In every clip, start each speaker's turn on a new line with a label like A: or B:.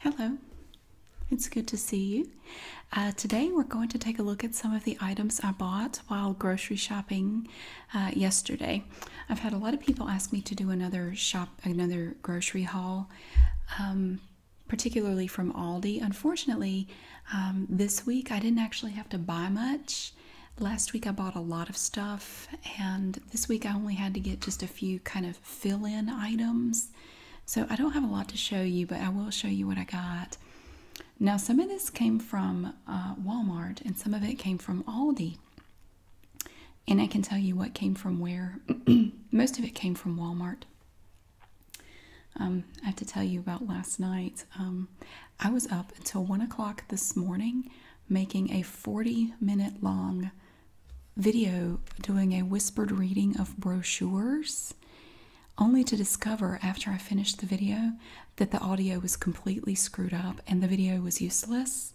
A: Hello, it's good to see you. Uh, today we're going to take a look at some of the items I bought while grocery shopping uh, yesterday. I've had a lot of people ask me to do another shop, another grocery haul, um, particularly from Aldi. Unfortunately, um, this week I didn't actually have to buy much. Last week I bought a lot of stuff, and this week I only had to get just a few kind of fill in items. So I don't have a lot to show you, but I will show you what I got. Now, some of this came from uh, Walmart and some of it came from Aldi. And I can tell you what came from where. Most of it came from Walmart. Um, I have to tell you about last night. Um, I was up until 1 o'clock this morning making a 40 minute long video doing a whispered reading of brochures, only to discover after I finished the video that the audio was completely screwed up and the video was useless.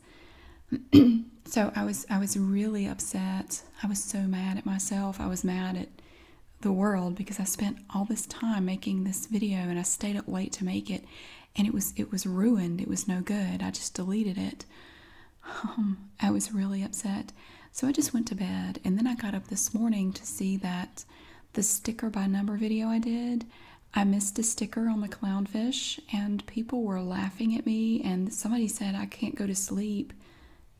A: so I was I was really upset. I was so mad at myself. I was mad at the world because I spent all this time making this video and I stayed up late to make it and it was it was ruined. It was no good. I just deleted it. Um, I was really upset. So I just went to bed and then I got up this morning to see that the sticker by number video I did, I missed a sticker on the clownfish and people were laughing at me and somebody said I can't go to sleep,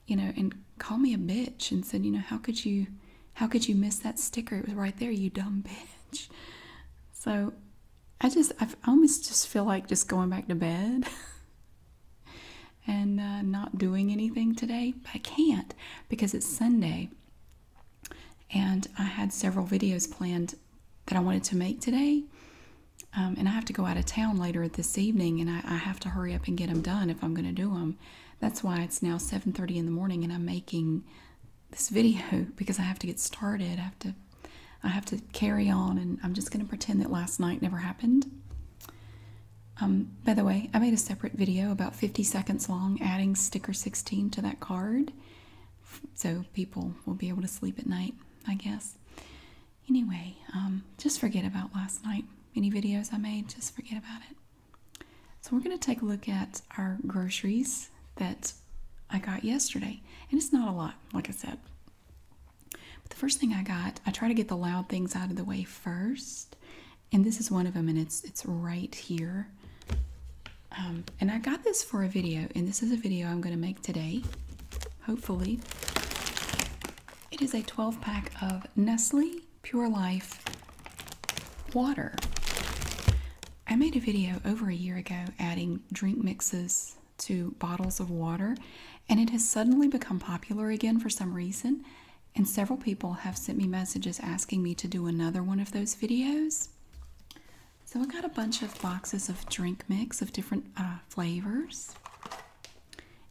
A: you know, and call me a bitch and said, you know, how could you how could you miss that sticker? It was right there, you dumb bitch. So I just I almost just feel like just going back to bed and uh, not doing anything today, I can't because it's Sunday and I had several videos planned that I wanted to make today. Um, and I have to go out of town later this evening, and I have to hurry up and get them done if I'm going to do them. That's why it's now 7:30 in the morning, and I'm making this video because I have to get started. I have to I have to carry on, and I'm just going to pretend that last night never happened. Um, by the way, I made a separate video about 50 seconds long adding sticker 16 to that card so people will be able to sleep at night, I guess. Anyway, um, just forget about last night. Any videos I made, just forget about it. So, we're going to take a look at our groceries that I got yesterday. And it's not a lot, like I said. But the first thing I got, I try to get the loud things out of the way first, and this is one of them, and it's it's right here. Um, and I got this for a video, and this is a video I'm going to make today, hopefully. It is a 12 pack of Nestle Pure Life water. I made a video over a year ago adding drink mixes to bottles of water, and it has suddenly become popular again for some reason. And several people have sent me messages asking me to do another one of those videos. So I got a bunch of boxes of drink mix of different uh, flavors.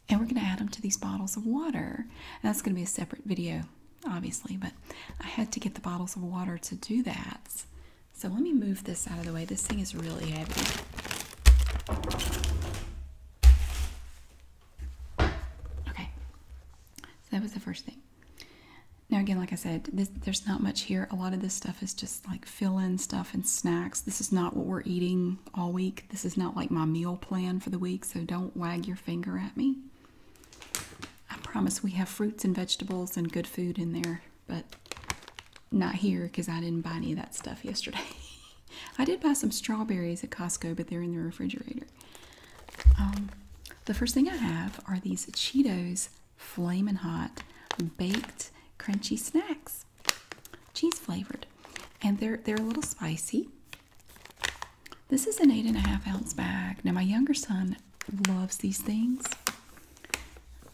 A: And we're going to add them to these bottles of water. that's going to be a separate video, obviously, but I had to get the bottles of water to do that. So let me move this out of the way. This thing is really heavy. Okay, so that was the first thing. Now again, like I said, there's not much here. A lot of this stuff is just like fill-in stuff and snacks. This is not what we're eating all week. This is not like my meal plan for the week, so don't wag your finger at me. I promise we have fruits and vegetables and good food in there but not here because I didn't buy any of that stuff yesterday. I did buy some strawberries at Costco, but they're in the refrigerator. Um, the first thing I have are these Cheetos Flame and Hot Baked Crunchy Snacks, cheese flavored, and they're they're a little spicy. This is an eight and a half ounce bag. Now my younger son loves these things,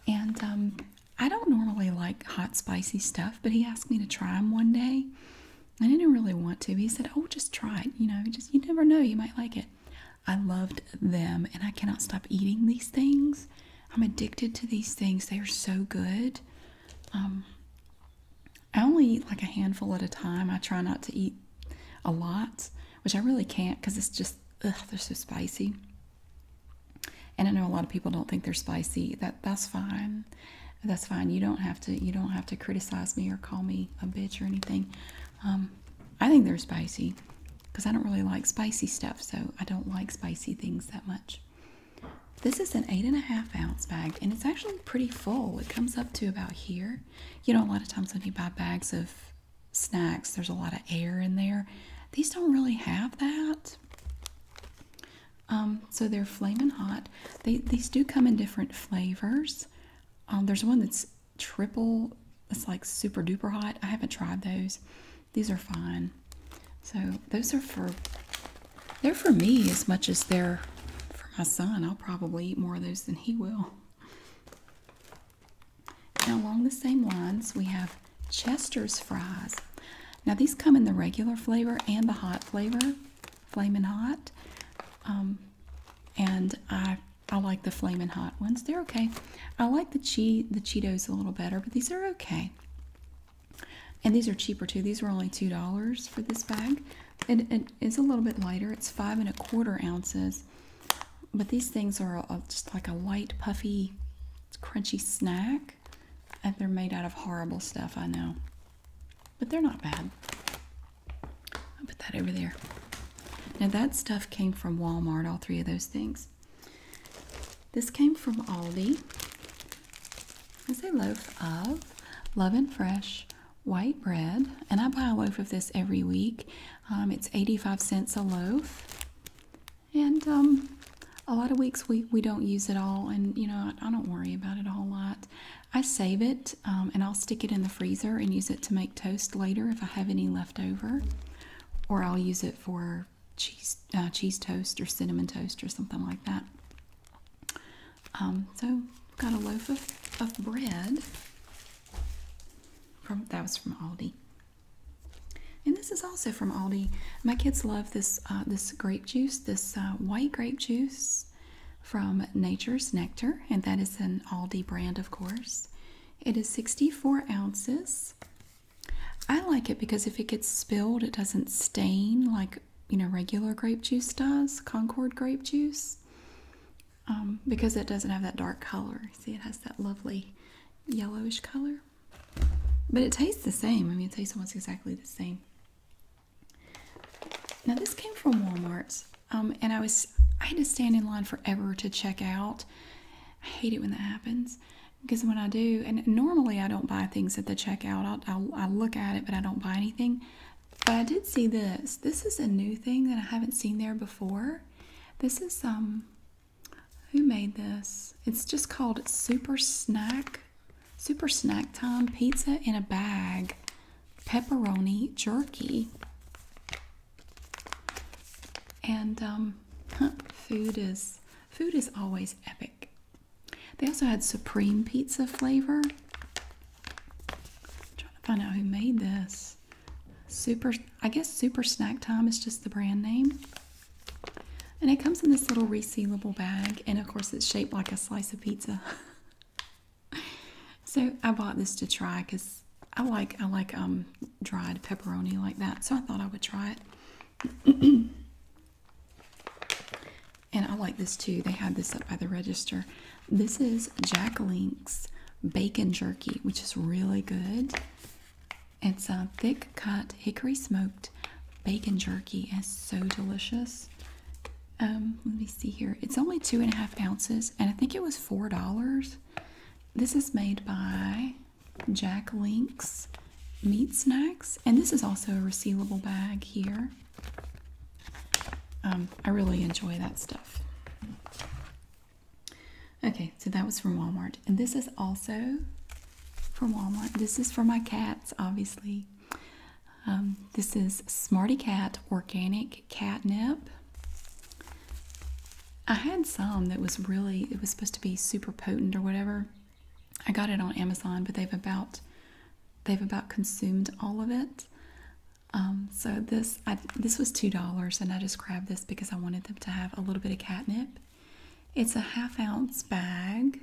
A: and um, I don't normally like hot, spicy stuff, but he asked me to try them one day. I didn't really want to. He said, "Oh, just try it. You know, just you never know, you might like it." I loved them, and I cannot stop eating these things. I'm addicted to these things. They are so good. Um, I only eat like a handful at a time. I try not to eat a lot, which I really can't because it's just they're so spicy and I know a lot of people don't think they're spicy. That that's fine. That's fine. You don't have to you don't have to criticize me or call me a bitch or anything. Um, I think they're spicy because I don't really like spicy stuff, so I don't like spicy things that much. This is an eight and a half ounce bag, and it's actually pretty full. It comes up to about here. You know, a lot of times when you buy bags of snacks, there's a lot of air in there. These don't really have that. Um, so they're flaming hot. these do come in different flavors. Um, there's one that's triple. It's like super duper hot. I haven't tried those. These are fine. So those are for. They're for me as much as they're for my son. I'll probably eat more of those than he will. Now along the same lines, we have Chester's fries. Now these come in the regular flavor and the hot flavor, flaming hot. Um, and I I like the flaming hot ones. They're okay. I like the che the Cheetos a little better, but these are okay. And these are cheaper too. These were only two dollars for this bag. it is a little bit lighter. It's five and a quarter ounces. But these things are just like a light, puffy, crunchy snack they're made out of horrible stuff, I know. But they're not bad. I'll put that over there. Now that stuff came from Walmart, all three of those things. This came from Aldi. It's a loaf of Love and Fresh white bread. And I buy a loaf of this every week. Um, it's 85 cents a loaf and um, a lot of weeks we, we don't use it all and you know I, don't worry about it a whole lot i save it um, and i'll stick it in the freezer and use it to make toast later if i have any left over or i'll use it for cheese uh, cheese toast or cinnamon toast or something like that um, so got a loaf of, of bread that was from aldi and this is also from Aldi. My kids love this uh, this grape juice, this uh, white grape juice from Nature's Nectar, and that is an Aldi brand, of course. It is 64 ounces. I like it because if it gets spilled, it doesn't stain like you know regular grape juice does, Concord grape juice, um, because it doesn't have that dark color. See, it has that lovely yellowish color. But it tastes the same. I mean, it tastes almost exactly the same. Now, this came from Walmart's, um, and I was I had to stand in line forever to check out. I hate it when that happens because when I do, and normally I don't buy things at the checkout. I I look at it, but I don't buy anything. But I did see this. This is a new thing that I haven't seen there before. This is um who made this? It's just called Super Snack. Super Snack Time Pizza in a Bag Pepperoni Jerky. And um, food is food is always epic. They also had supreme pizza flavor. trying to find out who made this. Super I guess Super Snack Time is just the brand name. And it comes in this little resealable bag, and of course, it's shaped like a slice of pizza. so I bought this to try because I like I like um dried pepperoni like that. So I thought I would try it. and I like this too. They had this up by the register. This is Jack Link's bacon jerky, which is really good. It's a thick cut, hickory smoked bacon jerky It's so delicious. Um, let me see here. It's only two and a half ounces, and I think it was four dollars. This is made by Jack Link's Meat Snacks, and this is also a resealable bag here. Um, I really enjoy that stuff. Okay, so that was from Walmart and this is also from Walmart. This is for my cats, obviously. Um, this is Smarty Cat Organic Catnip. I had some that was really, it was supposed to be super potent or whatever. I got it on Amazon, but they've about they've about consumed all of it. Um, so this I, this was two dollars, and I just grabbed this because I wanted them to have a little bit of catnip. It's a half ounce bag,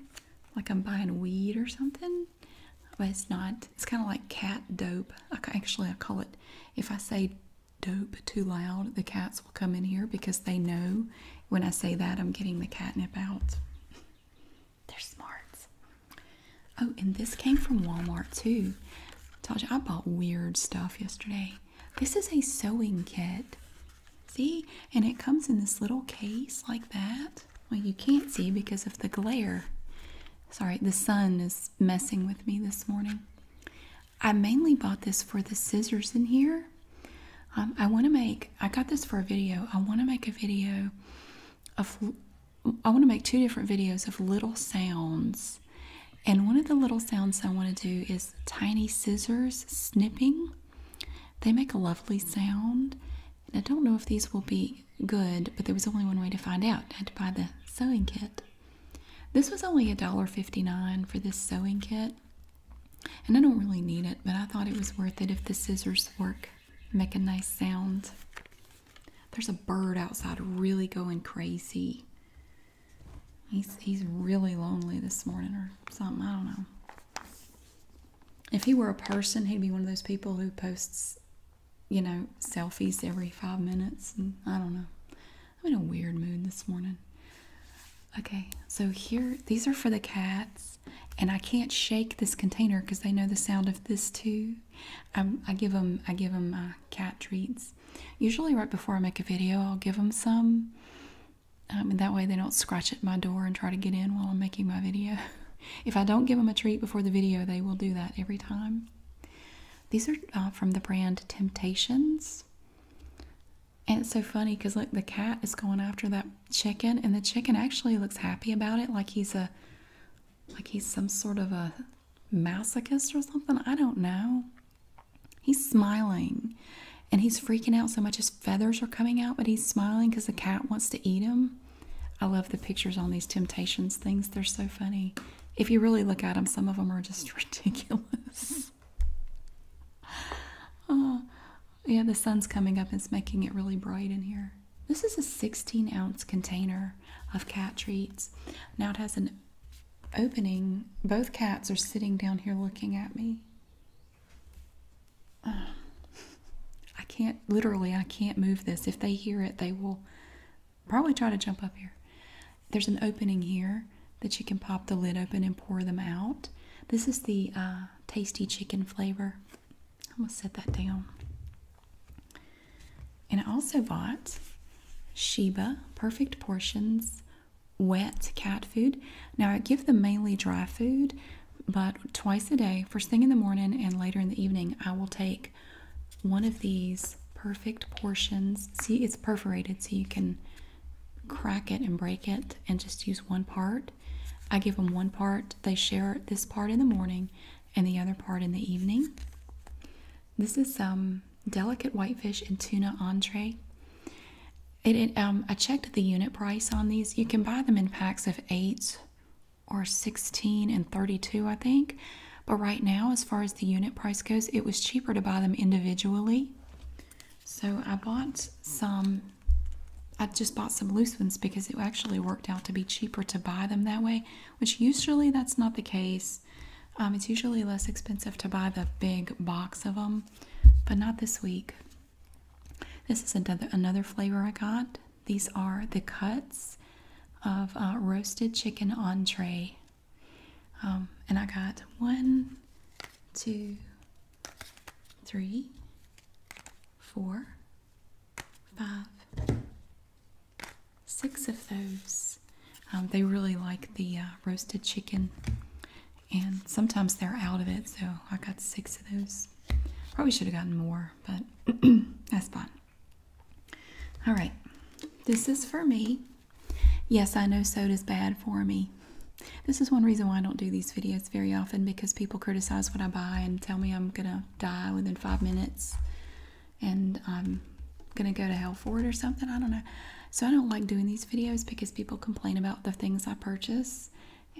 A: like I'm buying weed or something. But it's not, it's kind of like cat dope. actually, I call it, if I say dope too loud, the cats will come in here because they know when I say that I'm getting the catnip out. They're smart. Oh, and this came from Walmart too. told you I bought weird stuff yesterday. This is a sewing kit. See? And it comes in this little case like that. Well, you can't see because of the glare. Sorry, the sun is messing with me this morning. I mainly bought this for the scissors in here. Um, I want to make, I got this for a video. I want to make a video of, I want to make two different videos of little sounds. And one of the little sounds I want to do is tiny scissors snipping. They make a lovely sound. And I don't know if these will be good, but there was only one way to find out. I had to buy the sewing kit. This was only a dollar fifty-nine for this sewing kit. And I don't really need it, but I thought it was worth it if the scissors work, make a nice sound. There's a bird outside really going crazy. He's, he's really lonely this morning or something. I don't know. If he were a person, he'd be one of those people who posts, you know, selfies every five minutes. And I don't know. I'm in a weird mood this morning. Okay, so here, these are for the cats. And I can't shake this container because they know the sound of this too. i give them, I give them uh, cat treats. Usually, right before I make a video, I'll give them some that way they don't scratch at my door and try to get in while I'm making my video. if I don't give them a treat before the video, they will do that every time. These are uh, from the brand Temptations. And it's so funny because look, the cat is going after that chicken, and the chicken actually looks happy about it, like he's a, like he's some sort of a masochist or something. I don't know. He's smiling and he's freaking out so much his feathers are coming out, but he's smiling because the cat wants to eat him. I love the pictures on these temptations things, they're so funny. If you really look at them, some of them are just ridiculous. oh, yeah, the sun's coming up, it's making it really bright in here. This is a 16 ounce container of cat treats. Now it has an opening. Both cats are sitting down here looking at me. I can't literally I can't move this. If they hear it, they will probably try to jump up here. There's an opening here that you can pop the lid open and pour them out. This is the uh, tasty chicken flavor. I'm gonna set that down. And I also bought Sheba Perfect Portions wet cat food. Now, I give them mainly dry food, but twice a day, first thing in the morning and later in the evening, I will take one of these perfect portions. See, it's perforated so you can crack it and break it and just use one part. I give them one part, they share this part in the morning and the other part in the evening. This is some delicate whitefish and tuna entree. Um, I checked the unit price on these. You can buy them in packs of eight or 16 and 32, I think. But right now, as far as the unit price goes, it was cheaper to buy them individually. So I bought some, I just bought some loose ones because it actually worked out to be cheaper to buy them that way, which usually that's not the case. Um, it's usually less expensive to buy the big box of them, but not this week. This is another another flavor I got. These are the cuts of uh, roasted chicken entree, um, and I got one, two, three, four, five, six of those. Um, they really like the uh, roasted chicken and sometimes they're out of it, so I got six of those. Probably should have gotten more, but that's fine. All right, this is for me. Yes, I know soda's bad for me. This is one reason why I don't do these videos very often because people criticize what I buy and tell me I'm gonna die within five minutes and I'm gonna go to hell for it or something. I don't know. So I don't like doing these videos because people complain about the things I purchase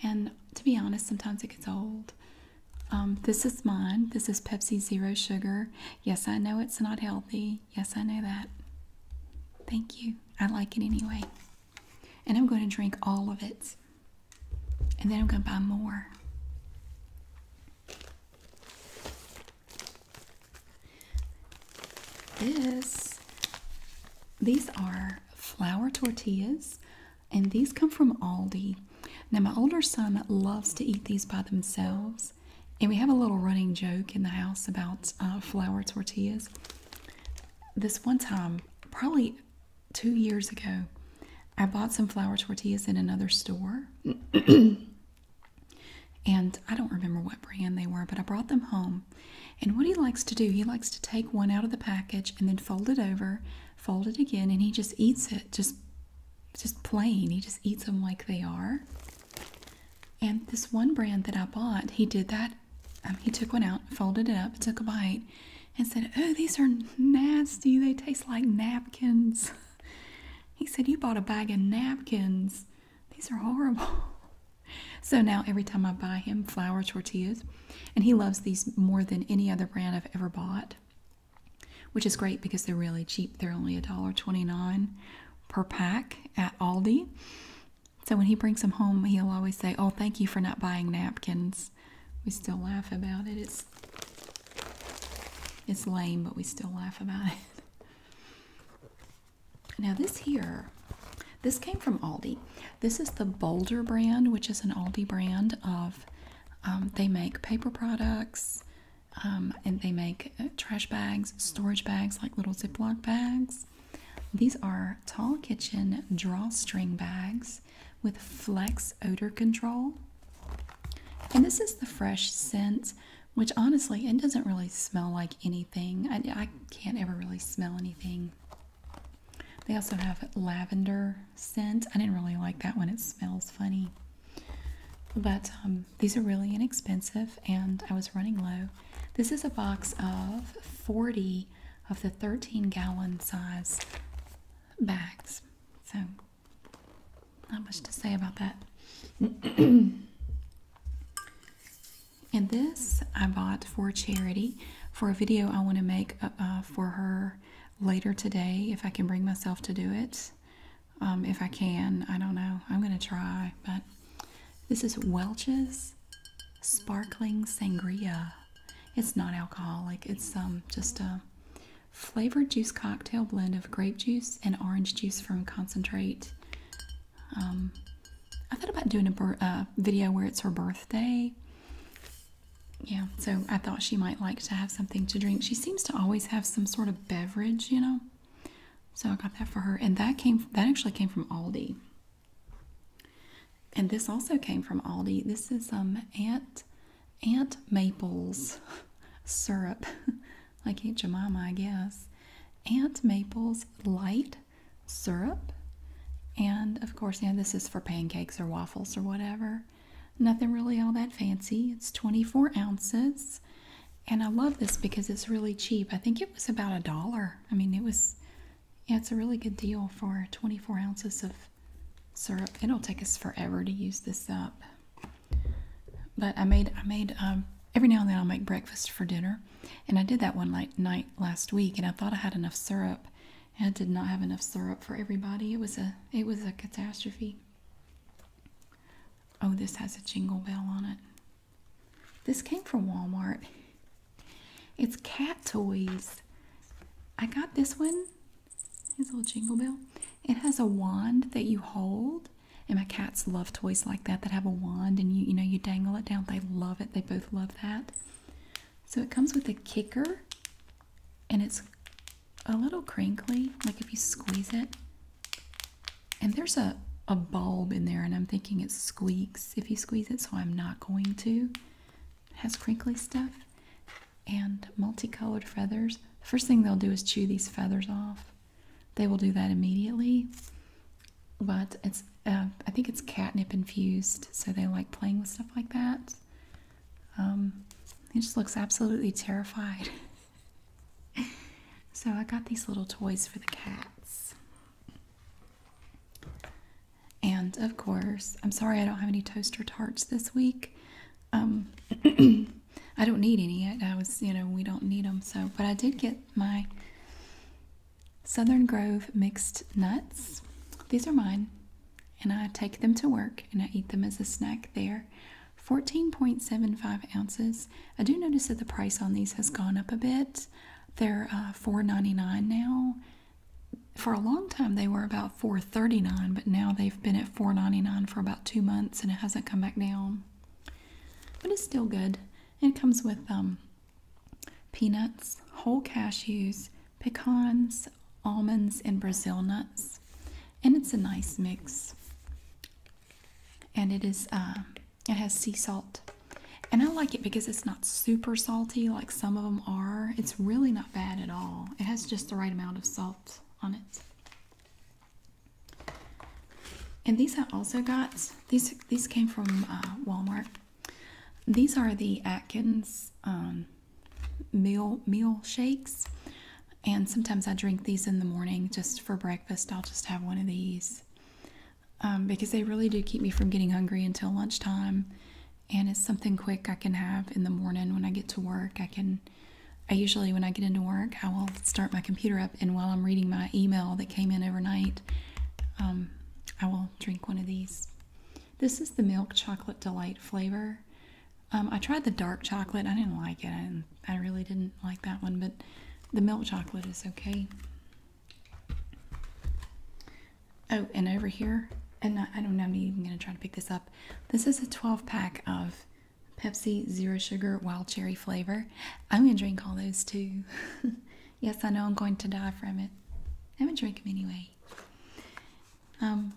A: and to be honest, sometimes it gets old. Um, this is mine. This is Pepsi Zero Sugar. Yes, I know it's not healthy. Yes, I know that. Thank you. I like it anyway. And I'm going to drink all of it. And then I'm going to buy more. This, these are flour tortillas, and these come from Aldi. Now, my older son loves to eat these by themselves, and we have a little running joke in the house about uh, flour tortillas. This one time, probably two years ago, I bought some flour tortillas in another store. and I don't remember what brand they were, but I brought them home and what he likes to do, he likes to take one out of the package and then fold it over, fold it again, and he just eats it just just plain. He just eats them like they are. And this one brand that I bought, he did that. Um, he took one out, folded it up, took a bite, and said, "Oh, these are nasty. They taste like napkins." he said, "You bought a bag of napkins. These are horrible." So now every time I buy him flour tortillas, and he loves these more than any other brand I've ever bought, which is great because they're really cheap. They're only a dollar twenty-nine per pack at Aldi. So when he brings them home, he'll always say, Oh, thank you for not buying napkins. We still laugh about it. It's it's lame, but we still laugh about it. Now this here, this came from Aldi. This is the Boulder brand, which is an Aldi brand of, um, they make paper products um, and they make uh, trash bags, storage bags, like little Ziploc bags. These are Tall Kitchen drawstring bags with flex odor control. And this is the fresh scent, which honestly, it doesn't really smell like anything. I can't ever really smell anything they also have lavender scent. I didn't really like that one, it smells funny. But um, these are really inexpensive, and I was running low. This is a box of 40 of the 13 gallon size bags. So, not much to say about that. And this I bought for charity for a video I want to make uh, uh, for her later today if I can bring myself to do it. Um, if I can, I don't know. I'm going to try. But this is Welch's Sparkling Sangria. It's not alcoholic. It's um, just a flavored juice cocktail blend of grape juice and orange juice from concentrate. Um, I thought about doing a uh, video where it's her birthday. Yeah, so I thought she might like to have something to drink. She seems to always have some sort of beverage, you know. So I got that for her, and that came that actually came from Aldi. And this also came from Aldi. This is um Aunt Aunt Maple's syrup, like Aunt Jemima, I guess. Aunt Maple's light syrup. And of course, you this is for pancakes or waffles or whatever. Nothing really all that fancy. It's 24 ounces. And I love this because it's really cheap. I think it was about a dollar. I mean, it was, yeah, it's a really good deal for 24 ounces of syrup. It'll take us forever to use this up. But I made, I made, um, every now and then I'll make breakfast for dinner. And I did that one night, night last week, and I thought I had enough syrup. And I did not have enough syrup for everybody. It was a it was a catastrophe. Oh, this has a jingle bell on it. This came from Walmart. It's cat toys. I got this one. It's little jingle bell. It has a wand that you hold. And my cats love toys like that that have a wand and you you know you dangle it down. They love it. They both love that. So it comes with a kicker and it's a little crinkly, like if you squeeze it. And there's a, a bulb in there, and I'm thinking it squeaks if you squeeze it, so I'm not going to. has crinkly stuff and multicolored feathers. The first thing they'll do is chew these feathers off. They will do that immediately but it's uh, I think it's catnip infused, so they like playing with stuff like that. he um, just looks absolutely terrified. so I got these little toys for the cats. And of course, I'm sorry I don't have any toaster tarts this week. Um, I don't need any. I was, you know, we don't need them. So, but I did get my Southern Grove mixed nuts. These are mine, and I take them to work and I eat them as a snack there. 14.75 ounces. I do notice that the price on these has gone up a bit. They're uh, ninety nine now. For a long time, they were about four thirty nine, but now they've been at four ninety nine for about two months and it hasn't come back down. But it's still good. It comes with um, peanuts, whole cashews, pecans, almonds, and Brazil nuts. And it's a nice mix. And it is, uh, it has sea salt. And I like it because it's not super salty like some of them are. It's really not bad at all. It has just the right amount of salt on it. And these I also got. These these came from uh, Walmart. These are the Atkins um, meal meal shakes, and sometimes I drink these in the morning just for breakfast. I'll just have one of these um, because they really do keep me from getting hungry until lunchtime, and it's something quick I can have in the morning when I get to work. I can. I usually, when I get into work, I will start my computer up, and while I'm reading my email that came in overnight, um, I will drink one of these. This is the milk chocolate delight flavor. Um, I tried the dark chocolate. I didn't like it. I, really didn't like that one, but the milk chocolate is okay. Oh, and over here, and I, don't know, I'm even going to try to pick this up. This is a 12 pack of Pepsi Zero Sugar Wild Cherry flavor. I'm going to drink all those too. Yes, I know I'm going to die from it. I'm gonna drink them anyway. Um,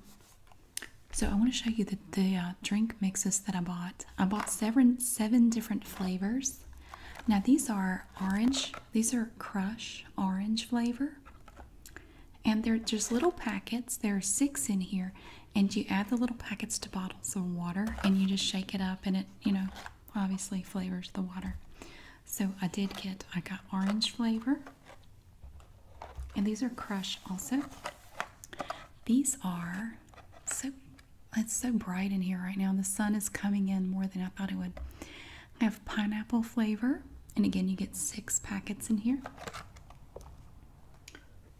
A: so I want to show you the, the uh, drink mixes that I bought. I bought seven, seven different flavors. Now these are orange. These are crush orange flavor. And they're just little packets. There are six in here. And you add the little packets to bottles of water and you just shake it up and it, you know, obviously flavors the water. So I did get, I got orange flavor. And these are Crush also. These are so, it's so bright in here right now. The sun is coming in more than I thought it would. I have pineapple flavor. And again, you get six packets in here.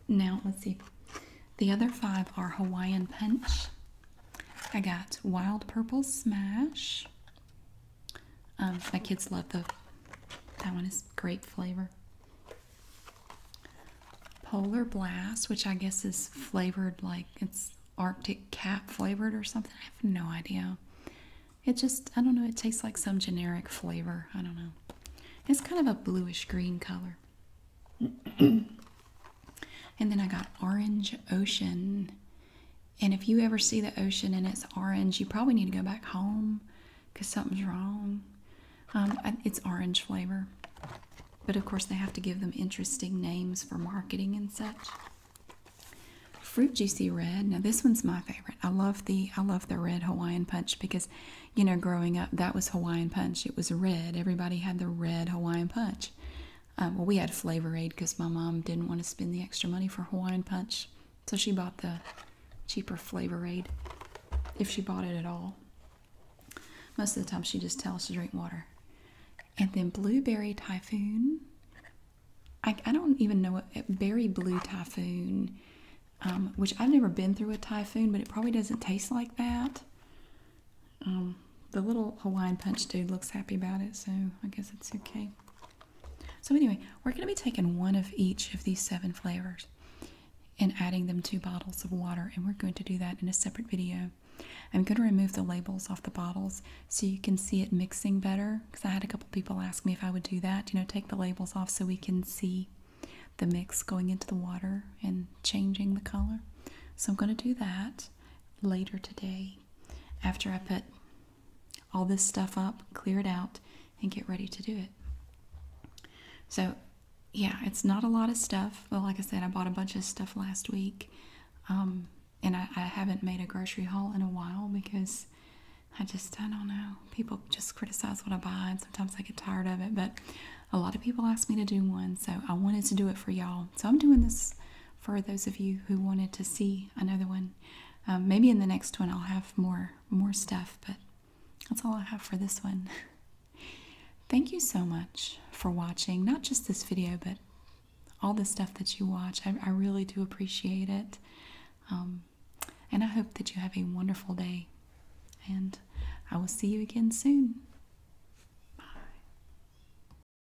A: Now, let's see. The other five are Hawaiian Punch, I got Wild Purple Smash. Um, my kids love the that one is grape flavor. Polar Blast, which I guess is flavored like it's Arctic cap flavored or something. I have no idea. It just, I don't know, it tastes like some generic flavor. I don't know. It's kind of a bluish green color. And then I got Orange Ocean. And if you ever see the ocean and it's orange, you probably need to go back home because something's wrong. Um, it's orange flavor. But of course, they have to give them interesting names for marketing and such. Fruit Juicy Red. Now this one's my favorite. I love the I love the red Hawaiian punch because, you know, growing up that was Hawaiian punch. It was red. Everybody had the red Hawaiian punch. Uh, well, we had Flavor Aid because my mom didn't want to spend the extra money for Hawaiian Punch, so she bought the cheaper Flavor Aid, if she bought it at all. Most of the time, she just tells us to drink water. And then Blueberry Typhoon. I, I don't even know what uh, berry blue typhoon, um, which I've never been through a typhoon, but it probably doesn't taste like that. Um, the little Hawaiian punch dude looks happy about it, so I guess it's okay. So anyway, we're going to be taking one of each of these seven flavors and adding them to bottles of water, and we're going to do that in a separate video. I'm going to remove the labels off the bottles so you can see it mixing better because I had a couple people ask me if I would do that, you know, take the labels off so we can see the mix going into the water and changing the color. So I'm going to do that later today after I put all this stuff up, clear it out, and get ready to do it. So, yeah, it's not a lot of stuff. But like I said, I bought a bunch of stuff last week, um, and I, I haven't made a grocery haul in a while because I just, I don't know. People just criticize what I buy, and sometimes I get tired of it, but a lot of people ask me to do one, so I wanted to do it for y'all. So I'm doing this for those of you who wanted to see another one. Um, maybe in the next one I'll have more more stuff, but that's all I have for this one. Thank you so much for watching, not just this video, but all the stuff that you watch. I, really do appreciate it. Um, and I hope that you have a wonderful day. And I will see you again soon. Bye.